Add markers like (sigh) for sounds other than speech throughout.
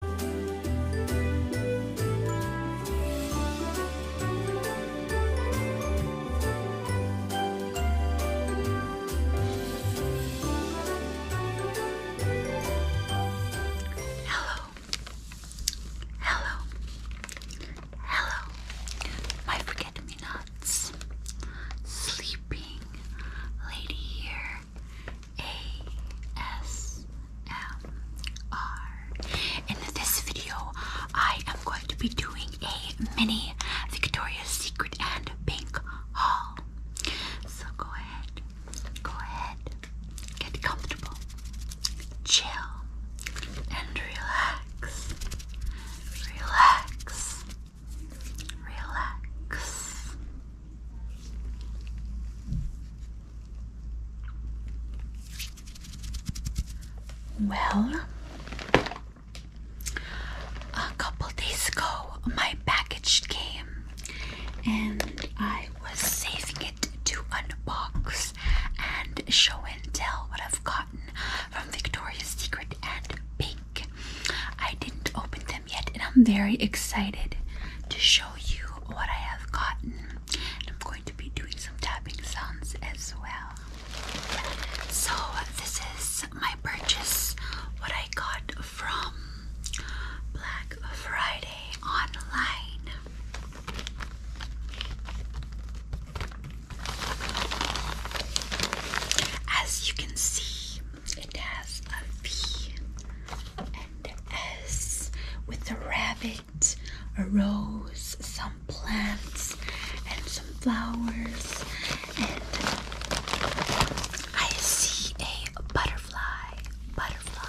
Hello, hello, hello, my forget me nots, sleeping lady here, ASMR. In this video, I am going to be doing a mini Victoria's Secret and Pink haul. So go ahead, go ahead, get comfortable, chill, and relax. Relax. Relax. Well, a couple days ago, my package came and I was saving it to unbox and show and tell what I've gotten from Victoria's Secret and Pink. I didn't open them yet, and I'm very excited to show show you what I have gotten. And I'm going to be doing some tapping sounds as well. So, this is my purchase, what I got from Black Friday online. As you can see, it has a V and as with a rabbit a rose, some plants and some flowers, and I see a butterfly, butterfly.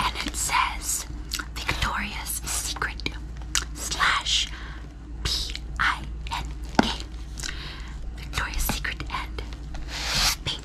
And it says Victoria's Secret slash P I N K. Victoria's Secret and pink.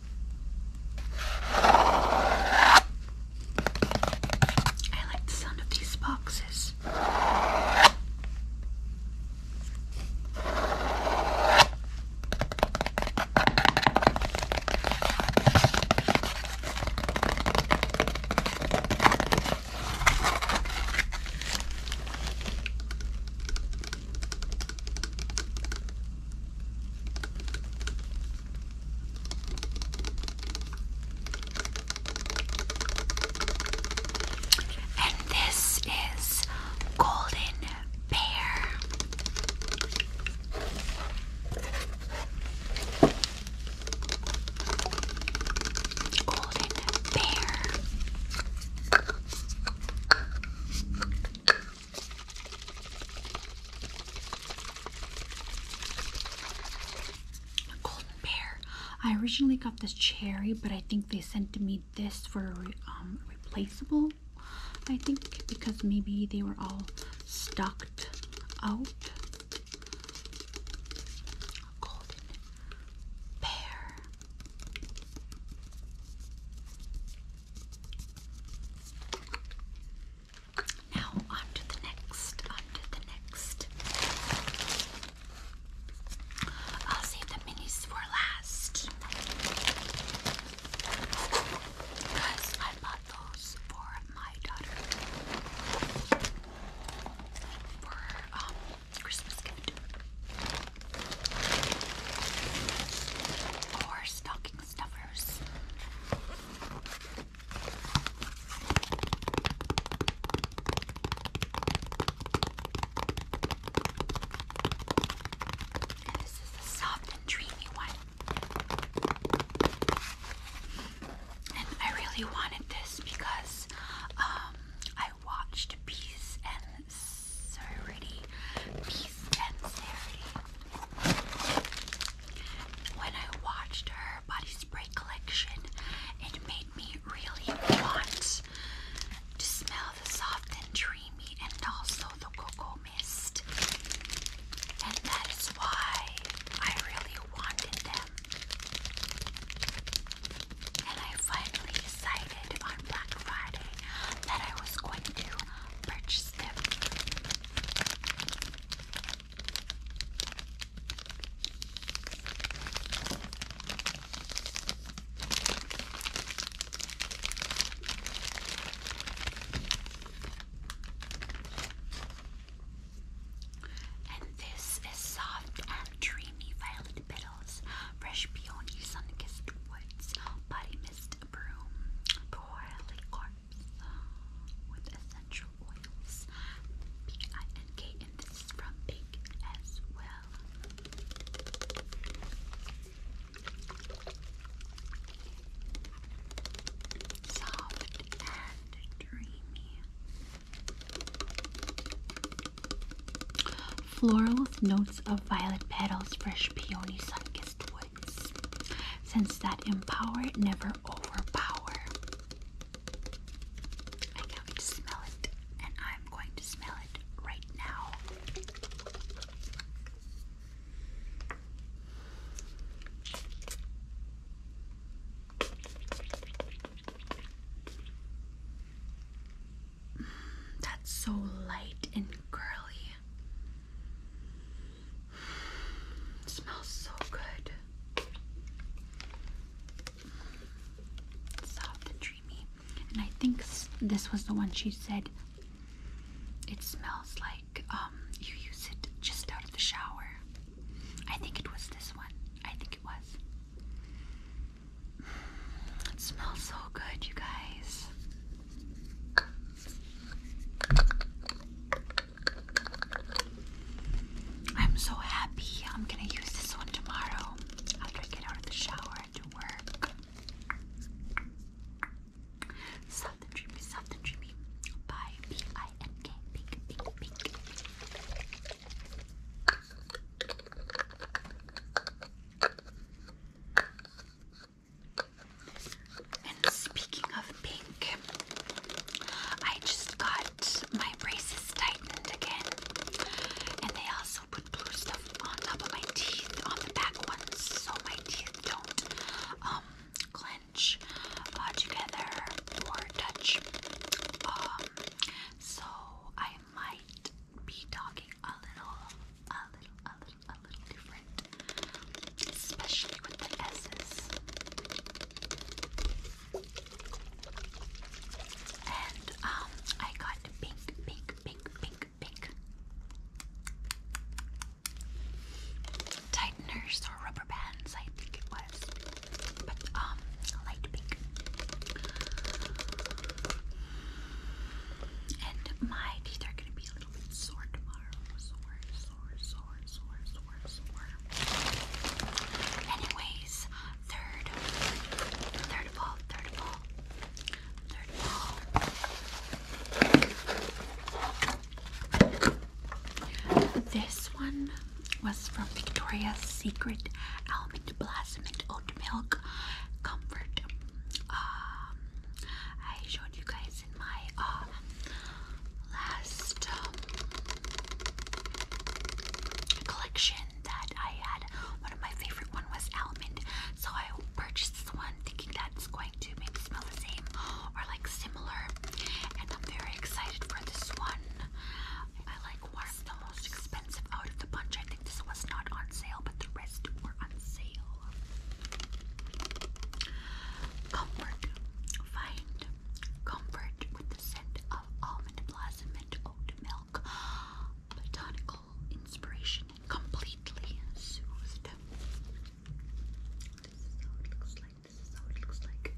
I like the sound of these boxes. And this is Golden Bear. Golden Bear golden pear. I originally got this cherry, but I think they sent me this for um, replaceable. I think because maybe they were all stocked out. golden pear. Now on to the next, on to the next. I'll save the minis for last. Because I bought those for my daughter. For um Christmas gift or stocking stuffers. this is a soft and dreamy one. And I really wanted this because um, I watched Bees and serenity, peace and serenity. When I watched her body spray collection, it made me really want to smell the soft and dreamy and also the cocoa mist. And that is why I really wanted them. And I finally decided on Black Friday that I was going to purchase them. And this is soft and dreamy violet wreathed petals, fresh peony, sun-kissed woods, body mist broom, corpse with essential oils, B-I-N-K, and this is from Pink as well. Soft and dreamy. Florals, notes of violet petals, fresh peony, sun-kissed woods. Since that empower, never overpower. I can't to smell it, and I'm going to smell it right now. That's so light and girly. smells so good. Soft and dreamy. And I think this was the one she said it smells like um, you use it just out of the shower. I think it was this one. I think it was. It smells so good, you guys. I'm so happy. I'm gonna use this one tomorrow after I get out of the shower and do work. Soft dreamy, soft dreamy. By B I N K. And speaking of pink, I just got my braces tightened again. And they also put blue stuff on top of my teeth, on the back ones, so my teeth don't um, clench uh, together or touch. Um, so I might be talking a little, a little, a little, a little different, especially with the S's. And um, I got pink, pink, pink, pink, pink tighteners or rubber bands, I think it was, but um, light pink. And my teeth are gonna be a little bit sore tomorrow. Sore, sore, sore, sore, sore, sore. Anyways, third, third of third of third of This one was from Victoria's Secret Almond Blossom and Oat milk comfort. Um, I showed you guys in my uh, last um, collection that I had. One of my favorite one was almond, so I purchased the one thinking that's going to maybe smell the same or like similar. And I'm very excited for this one. I like warm, the most expensive out of the bunch. I think this was not on sale, but the rest were on sale. Comfort. Find comfort with the scent of almond blossom and oat milk. Botanical inspiration completely soothed. This is how it looks like. This is how it looks like.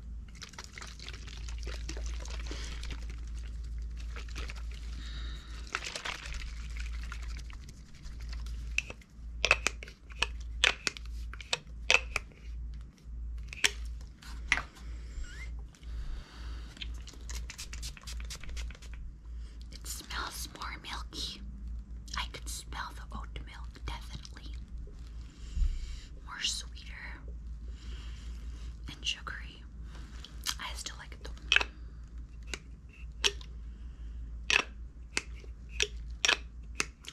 It smells more milky. I can smell the oat milk definitely. More sweeter and sugary. I still like it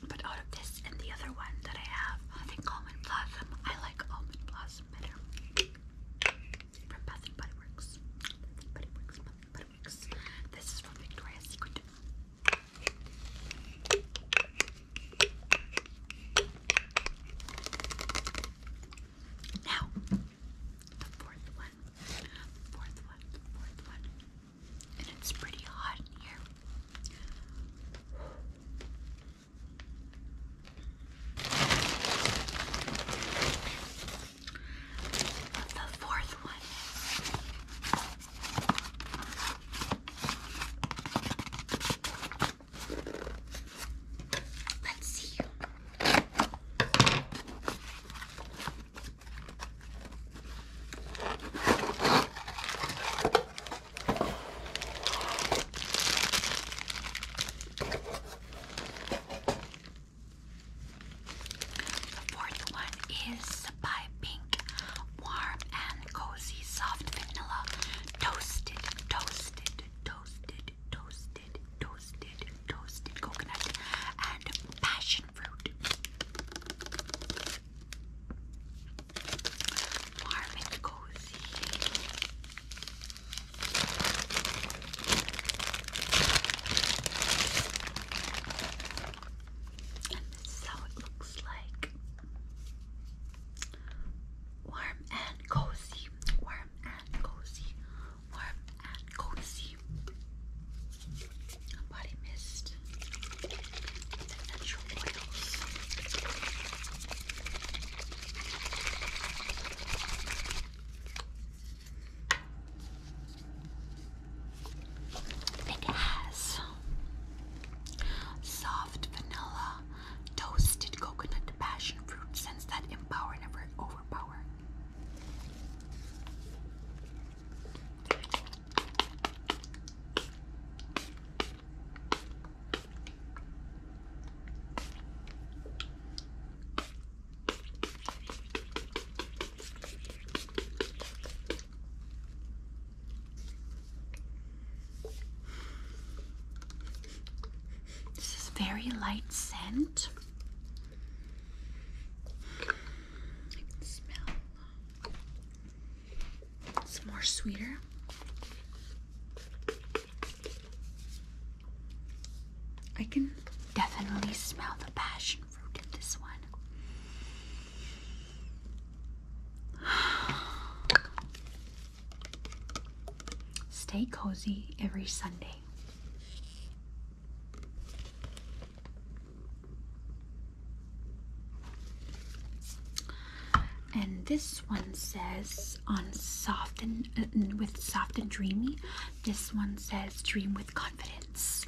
But out of this and the other one that I have, I think almond blossom, I like almond blossom better. From Bath and Body Works. This is from Victoria's Secret. Now, the fourth one, fourth one, fourth one, and it's pretty hot in here. The fourth one Let's see. The fourth one is by Pink, warm and cozy, soft vanilla, toasted, toasted toasted, toasted, toasted, toasted, toasted coconut and passion fruit. Warm and cozy. And this is how it looks like warm and cozy, warm and cozy, warm and cozy. Body mist, essential oils. It has soft vanilla Toasted coconut passion fruit scents that empower, never overpower. This is very light scent. I can smell it's more sweeter. I can definitely smell the passion fruit in this one. Stay cozy every Sunday. And this one says on soft and uh, with soft and dreamy. This one says dream with confidence.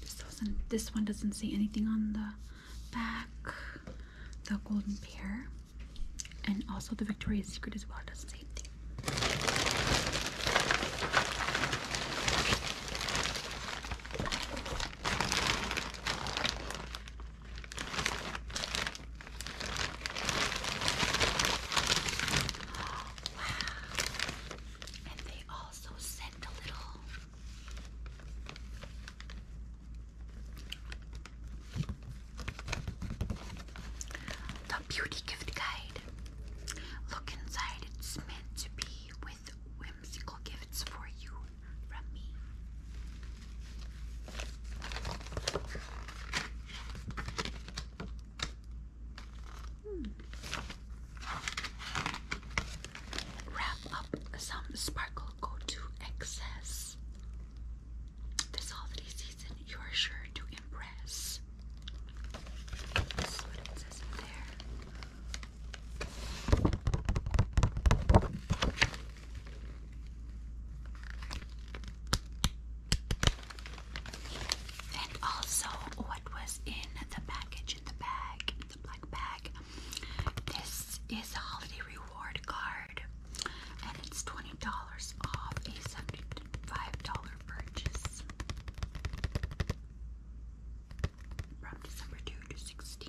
This doesn't. This one doesn't say anything on the back. The golden pear, and also the Victoria's Secret as well doesn't say anything. Wow. And they also sent a little the beauty gift guide. Look inside, it's meant to be with whimsical gifts for you Hmm. Wrap up some sparkle go to excess. This holiday season, you are sure to impress. This is what it says in there. And also, what was in the package, in the bag, in the black bag, this is a holiday reward card, and it's $20 off a $75 purchase from December 2 to 16.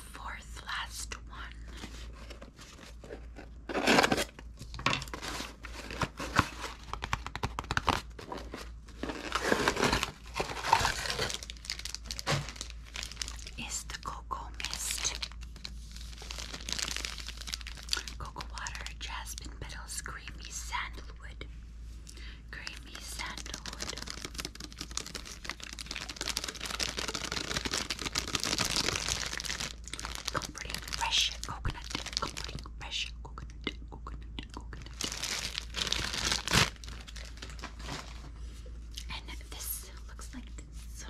fourth last one. Is the cocoa mist, cocoa water, jasmine petals, creamy sandalwood, creamy sandalwood, Comforting fresh coconut, comforting fresh coconut, coconut, coconut. And this looks like this.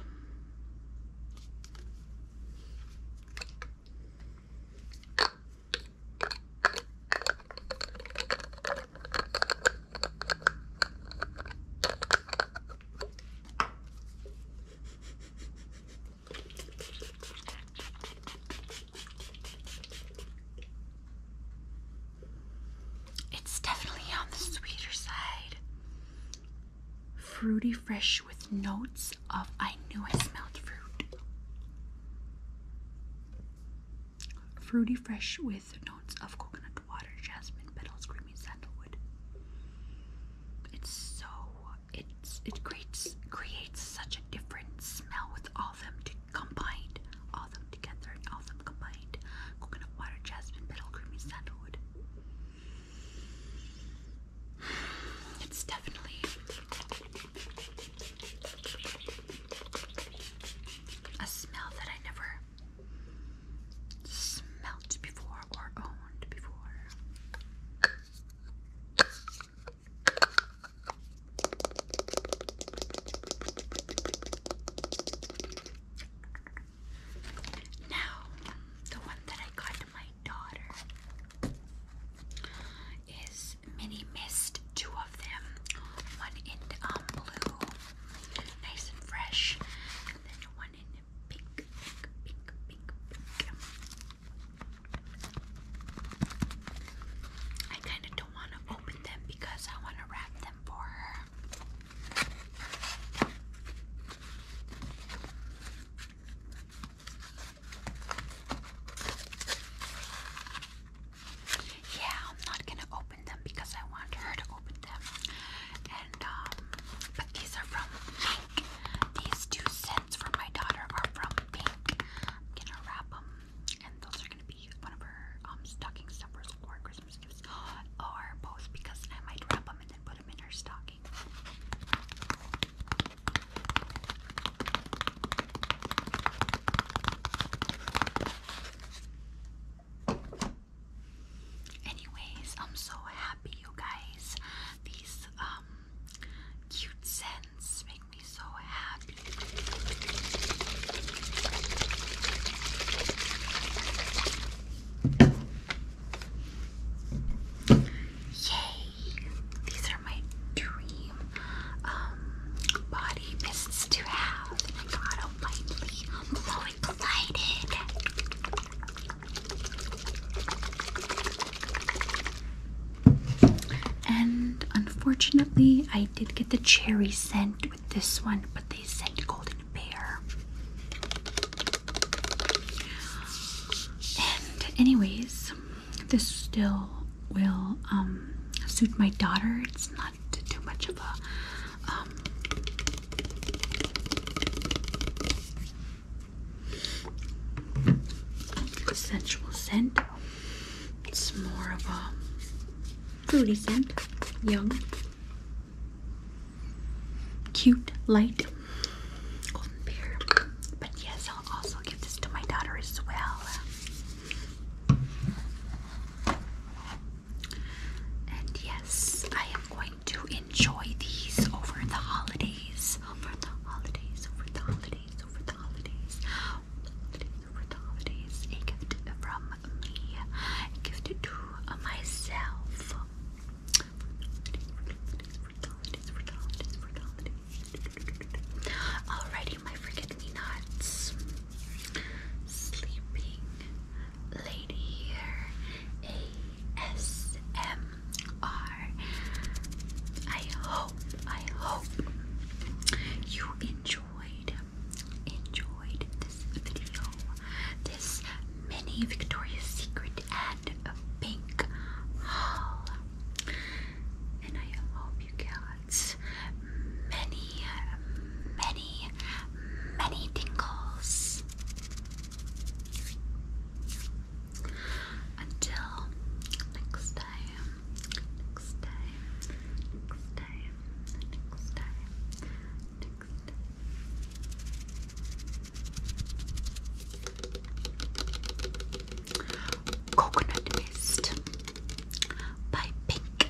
It's definitely on the sweeter side. Fruity fresh with notes of I knew I smelled fruit. Fruity fresh with with notes of coconut water, jasmine petals, creamy sandalwood. It's so it's it creates creates such a different smell with all them combined, all them together all them combined. Coconut water, jasmine petal, creamy sandalwood. It's definitely a smell that I never smelt before or owned before. Now, the one that I got my daughter is mini mist, two of them, one in um, blue nice and fresh. And then one in pink, I kind of don't want to open them because I want to wrap them for her. Yeah, I'm not gonna open them because I want her to open them. And um, but these are from Pink. These two scents from my daughter are from Pink. i gonna wrap them, and those are gonna be one of her um stocking stuffers for Christmas gifts, (gasps) or both because I might wrap them and then put them in her stocking. Anyways, I'm so happy you guys. These um, cute scents make me so happy. Yay! These are my dream um body to have, um, and I got almighty, I'm glowing glided. And unfortunately, I did get the cherry scent with this one, but they sent golden bear. And anyways, this still will um, suit my daughter. It's not not too much of a um, sensual scent. It's more of a fruity scent, young, cute, light, But yes, I'll also give this to my daughter as well. And yes, I am going to enjoy these over the holidays. Over the holidays, over the holidays, over the holidays. Over the holidays, a gift from me, a gift to myself. Alrighty, my freaking kidney nuts. Sleeping lady here. ASMR. I hope, I hope you enjoyed, enjoyed this video. This mini Victoria's Secret ad a pink haul. And I hope you got many, many, many tingles until next time. Coconut Mist by Pink.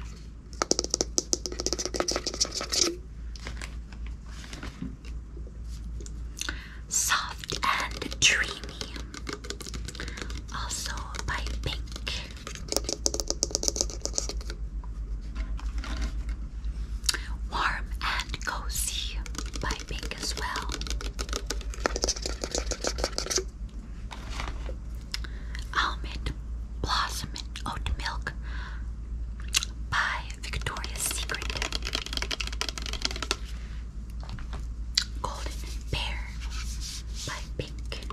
Soft and Dreamy, also by Pink. Warm and Cozy by Pink as well. Almond Blossom and Oat Milk by Victoria's Secret. Golden Pear by Pink.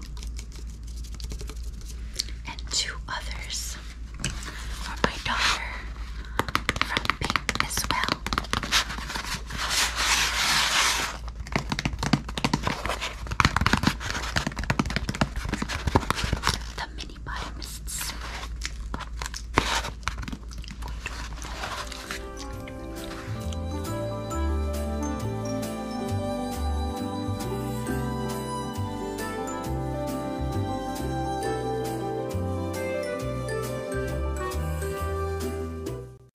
And two others for my daughter from Pink as well. The mini vitamins.